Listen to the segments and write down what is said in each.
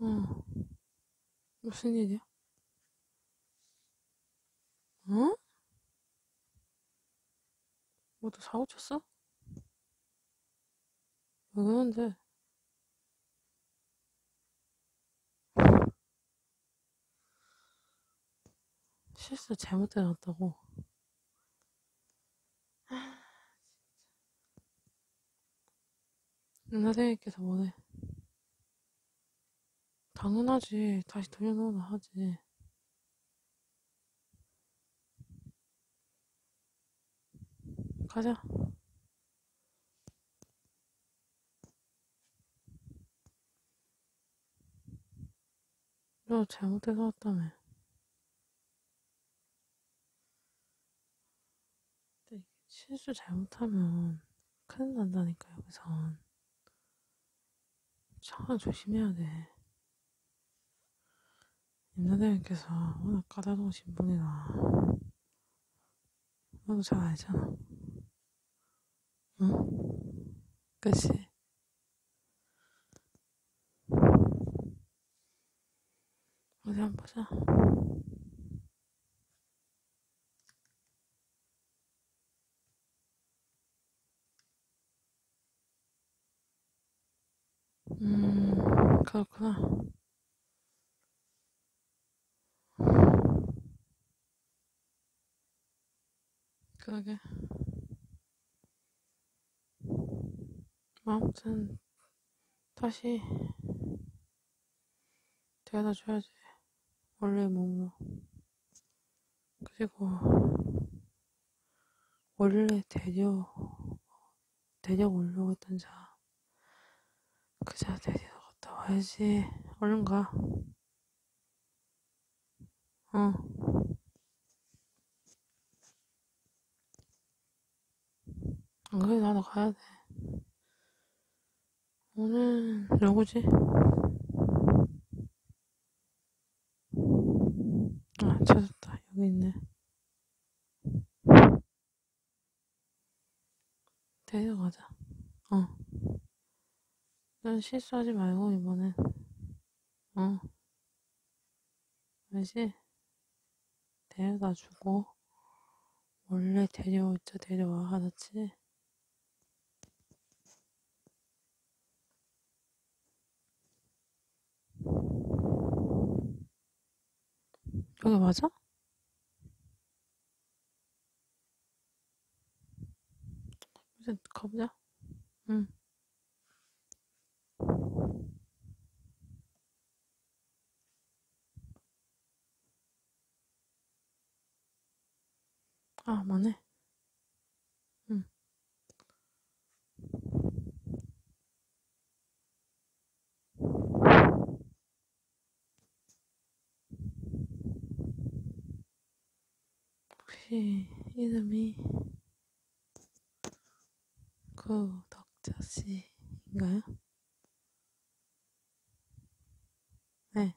어, 무슨 일이야? 응? 뭐또 사고 쳤어? 왜 그러는데? 실수 잘못 들어갔다고. 아, 선생님께서 뭐래? 당연하지. 다시 돌려놓으라 하지. 가자. 너 잘못해서 왔다며. 근데 실수 잘못하면 큰일 난다니까, 여기선. 참 조심해야 돼. 임나대님께서 워낙 까다로우신 분이라 나도 잘 알잖아. 응? 그치? 어디 한번 보자. 음, 그렇구나. 그러게. 아무튼 다시 데려다 줘야지. 원래 몸으로. 그리고 원래 데려 데려 오려고 했던 자. 그 자 데리러 갔다 와야지. 얼른 가. 어. 안 그래, 나도 가야 돼. 오늘, 누구지? 아, 찾았다. 여기 있네. 데려가자. 어. 난 실수하지 말고, 이번엔. 어. 알지? 데려다 주고, 원래 데려올 때 데려와, 알았지? 여기 맞아? 이제 가보자. 응. 아, 맞네. 응. 혹시 이름이 구덕자 그 씨인가요? 네.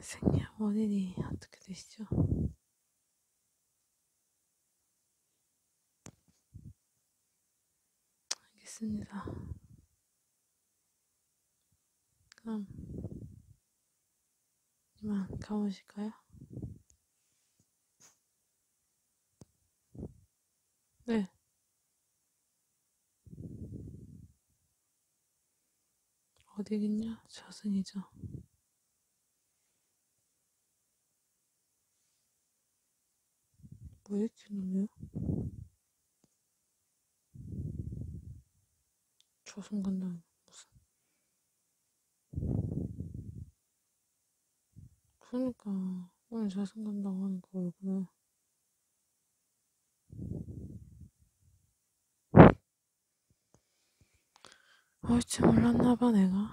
생년 월일이 어떻게 되시죠? 알겠습니다. 그럼 이만 가보실까요? 네. 어디겠냐? 저승이죠. 뭐 이렇게 놀려요? 저 순간도 무슨 그러니까 오늘 자신감당 하니까 얼굴에 어이치 몰랐나봐 내가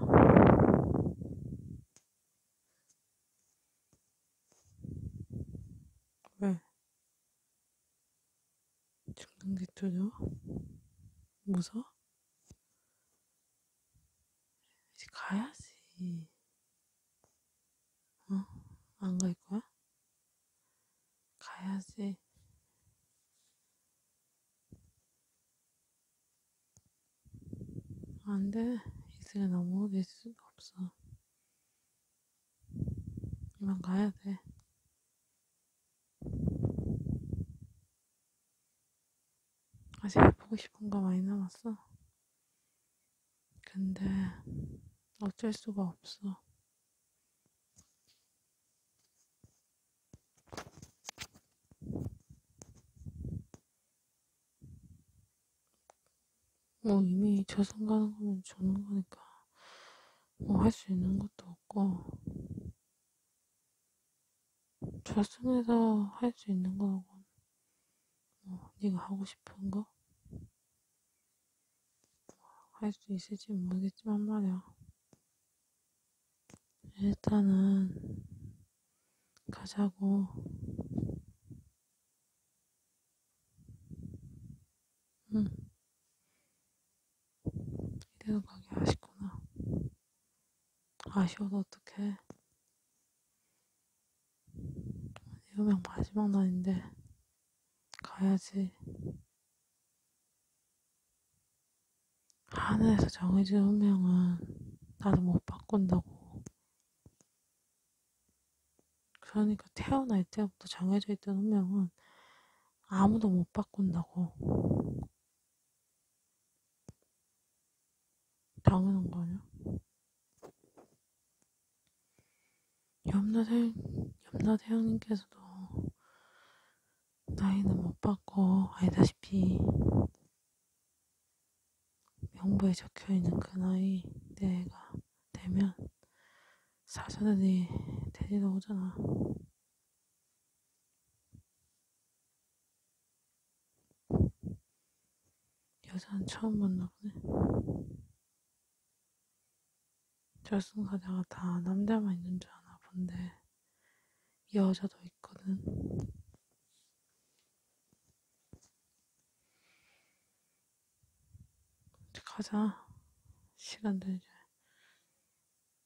왜? 중간기 뚫려? 무서워? 이제 가야지. 어? 안갈 거야? 가야지. 안 돼. 이슬에 넘어올 수가 없어. 이만 가야 돼. 아직 해보고 싶은 거 많이 남았어. 근데 어쩔 수가 없어. 뭐 이미 저승 가는 거는 주는 거니까 뭐 할 수 있는 것도 없고 저승에서 할 수 있는 거하고 뭐 네가 하고 싶은 거 할 수 있을지 모르겠지만 말이야 일단은 가자고 응. 음. 이대로 가기 아쉽구나. 아쉬워서 어떡해. 여명 마지막 날인데, 가야지. 하늘에서 정해진 운명은 나도 못 바꾼다고. 그러니까 태어날 때부터 정해져 있던 운명은 아무도 못 바꾼다고. 당연한 거 아니야? 염라대, 염라대왕님께서도 나이는 못 바꿔 알다시피 명부에 적혀 있는 그 나이 내가 되면 사자들이 데리러 오잖아. 여자는 처음 만나보네. 결승사자가 다 남자만 있는 줄 아나 본데 여자도 있거든. 가자. 시간 되지.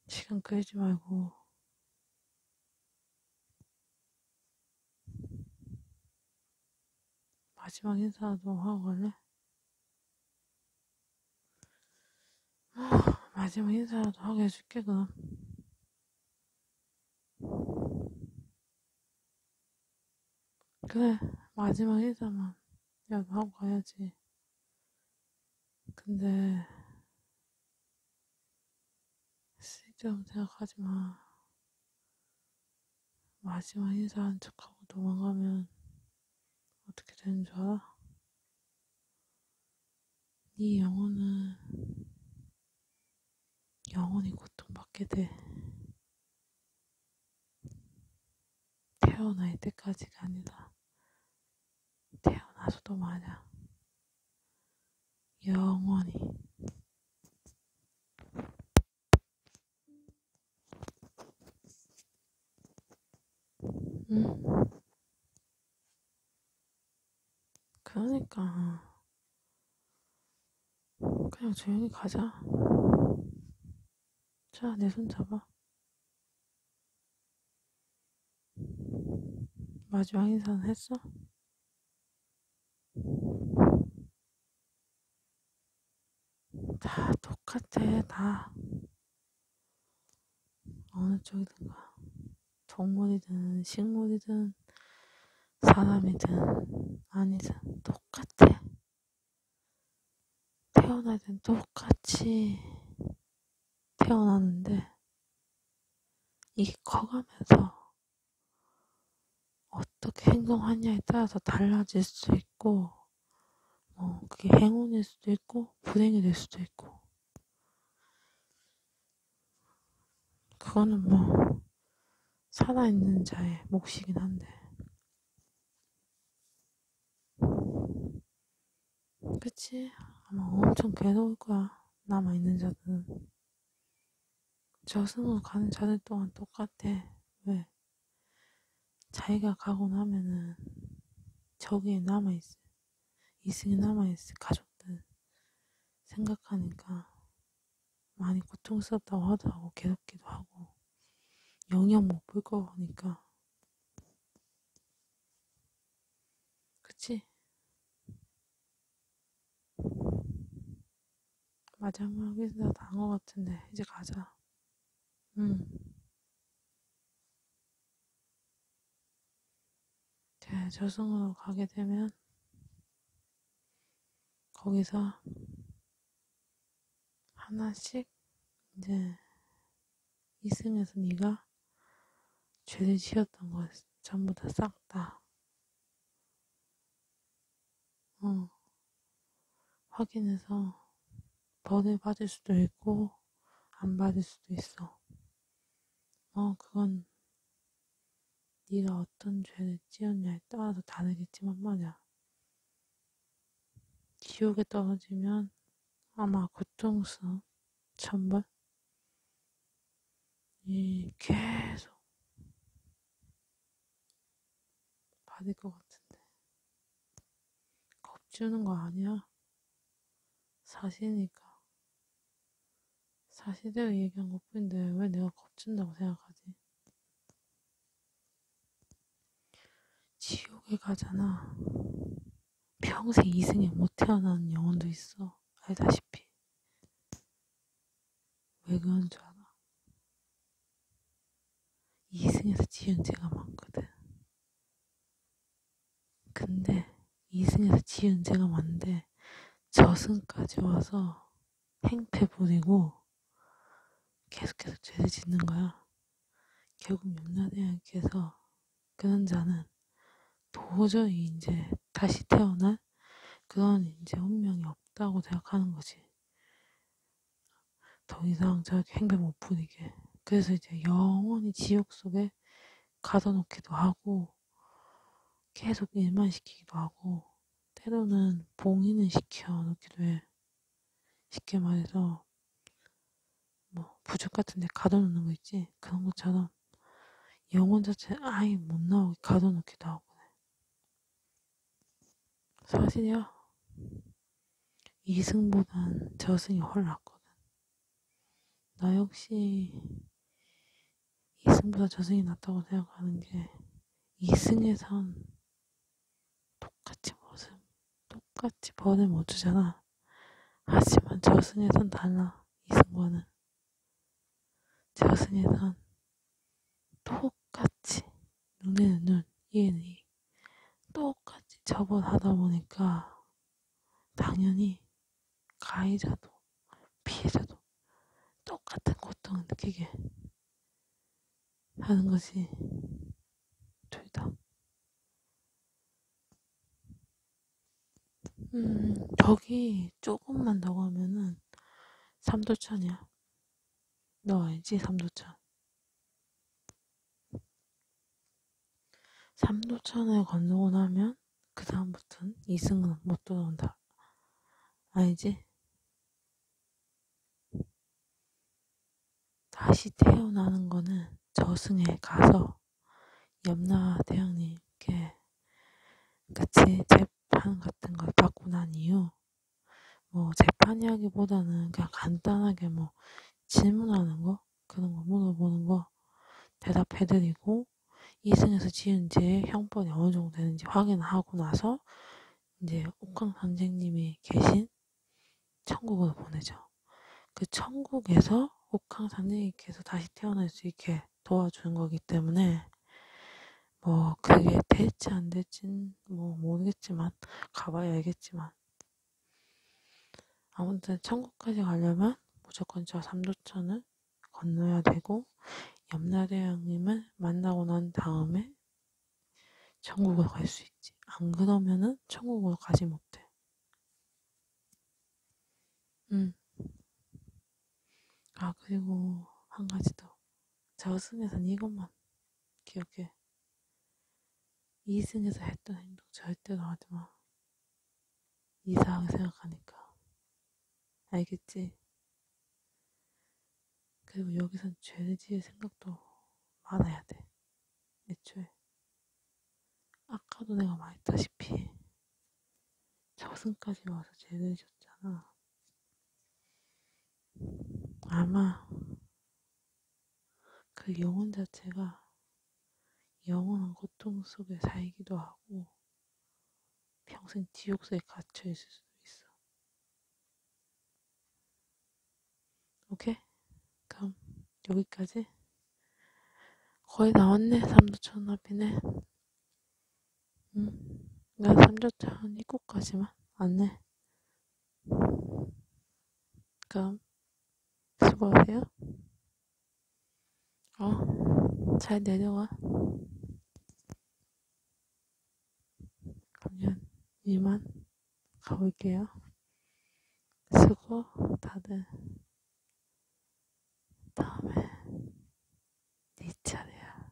시간 끌지 말고. 마지막 인사도 하고 갈래? 마지막 인사라도 하게 해줄게, 그럼. 그래, 마지막 일자만 야도 하고 가야지. 근데, 쓸데없는 생각하지 마. 마지막 인사한 척하고 도망가면 어떻게 되는 줄 알아? 네 영혼은 영원히 고통받게 돼. 태어날 때까지가 아니라 태어나서도 마냥 영원히 응? 음? 그러니까 그냥 조용히 가자. 자, 내 손 잡아. 마지막 인사는 했어? 다 똑같아, 다. 어느 쪽이든가. 동물이든 식물이든 사람이든 아니든 똑같아. 태어날 땐 똑같이 태어나는데 이게 커가면서 어떻게 행동하냐에 따라서 달라질 수 있고 뭐 그게 행운일 수도 있고 불행이 될 수도 있고 그거는 뭐 살아있는 자의 몫이긴 한데 그치? 아마 엄청 괴로울 거야 남아있는 자들은 저승으로 가는 자들 또한 똑같아 왜? 자기가 가고 나면은 저기에 남아있어 이승에 남아있을 가족들 생각하니까 많이 고통스럽다고 하도 하고 괴롭기도 하고 영영 못 볼 거니까 그치? 마지막 여기서 다한것 같은데 이제 가자 응제 네, 저승으로 가게 되면 거기서 하나씩 이제 이승에서 네가 죄를 지었던 것 전부 다 싹 다 어, 확인해서 벌을 받을 수도 있고 안 받을 수도 있어. 어, 그건 네가 어떤 죄를 지었냐에 따라서 다르겠지만 말이야. 지옥에 떨어지면 아마 고통스러운 천벌? 이 계속 받을 것 같은데 겁주는 거 아니야 사실이니까 사실대로 얘기한 것 뿐인데 왜 내가 겁준다고 생각하지? 지옥에 가잖아. 평생 이승에 못 태어나는 영혼도 있어. 알다시피. 왜 그런 줄 알아? 이승에서 지은 죄가 많거든. 근데 2승에서 지은 제가 맞는데 저승까지 와서 행패 부리고 계속해서 죄를 짓는 거야. 결국 염라대왕께서 그 남자는 도저히 이제 다시 태어날 그런 이제 운명이 없다고 생각하는 거지. 더 이상 저렇게 행패 못 부리게. 그래서 이제 영원히 지옥 속에 가둬놓기도 하고 하고 계속 일만 시키기도 하고 때로는 봉인을 시켜 놓기도 해. 쉽게 말해서 뭐 부적 같은 데 가둬놓는 거 있지? 그런 것처럼 영혼 자체 아예 못 나오게 가둬놓기도 하고 사실이야. 이승보단 저승이 훨 낫거든. 나 역시 이승보다 저승이 낫다고 생각하는 게 이승에선 똑같이 모습, 똑같이 번을 못 주잖아. 하지만 저승에선 달라, 이승과는. 저승에선 똑같이 눈에는 눈, 이에는 이. 똑같이 접어하다 보니까 당연히 가해자도 피해자도 똑같은 고통을 느끼게 하는 것이 둘다 음, 저기 조금만 더 가면은 삼도천이야. 너 알지? 삼도천. 삼도천을 건너고 나면 그 다음부터는 이승은 못 들어온다. 알지? 아, 다시 태어나는 거는 저승에 가서 염라 대왕님께 같이 재판 같은 걸 받고 난 이후 뭐 재판이라기보다는 그냥 간단하게 뭐 질문하는 거 그런 거 물어보는 거 대답해드리고 이승에서 지은 죄 형벌이 어느 정도 되는지 확인하고 나서 이제 옥황 선생님이 계신 천국으로 보내죠. 그 천국에서 옥황 선생님께서 다시 태어날 수 있게 도와주는 거기 때문에 뭐 그게 될지 안 될진 뭐 모르겠지만 가봐야 알겠지만 아무튼 천국까지 가려면 무조건 저 삼도천을 건너야 되고 염라대왕님을 만나고 난 다음에 천국으로 갈 수 있지. 안 그러면은 천국으로 가지 못해. 음. 아 그리고 한 가지 더. 저승에선 이것만 기억해. 이승에서 했던 행동 절대로 하지 마. 이상하게 생각하니까. 알겠지? 그리고 여기선 죄를 지을 생각도 많아야 돼. 애초에. 아까도 내가 말했다시피 저승까지 와서 죄를 졌잖아. 아마 그 영혼 자체가 영원한 고통 속에 살기도 하고 평생 지옥속에 갇혀 있을 수도 있어. 오케이? 그럼 여기까지. 거의 나왔네. 삼도천 앞이네. 응. 난 삼도천 입구까지만 왔네. 그럼 수고하세요. 어, 잘 내려와. 그러면 이만 가볼게요. 수고 다들. 다음에 네 차례야.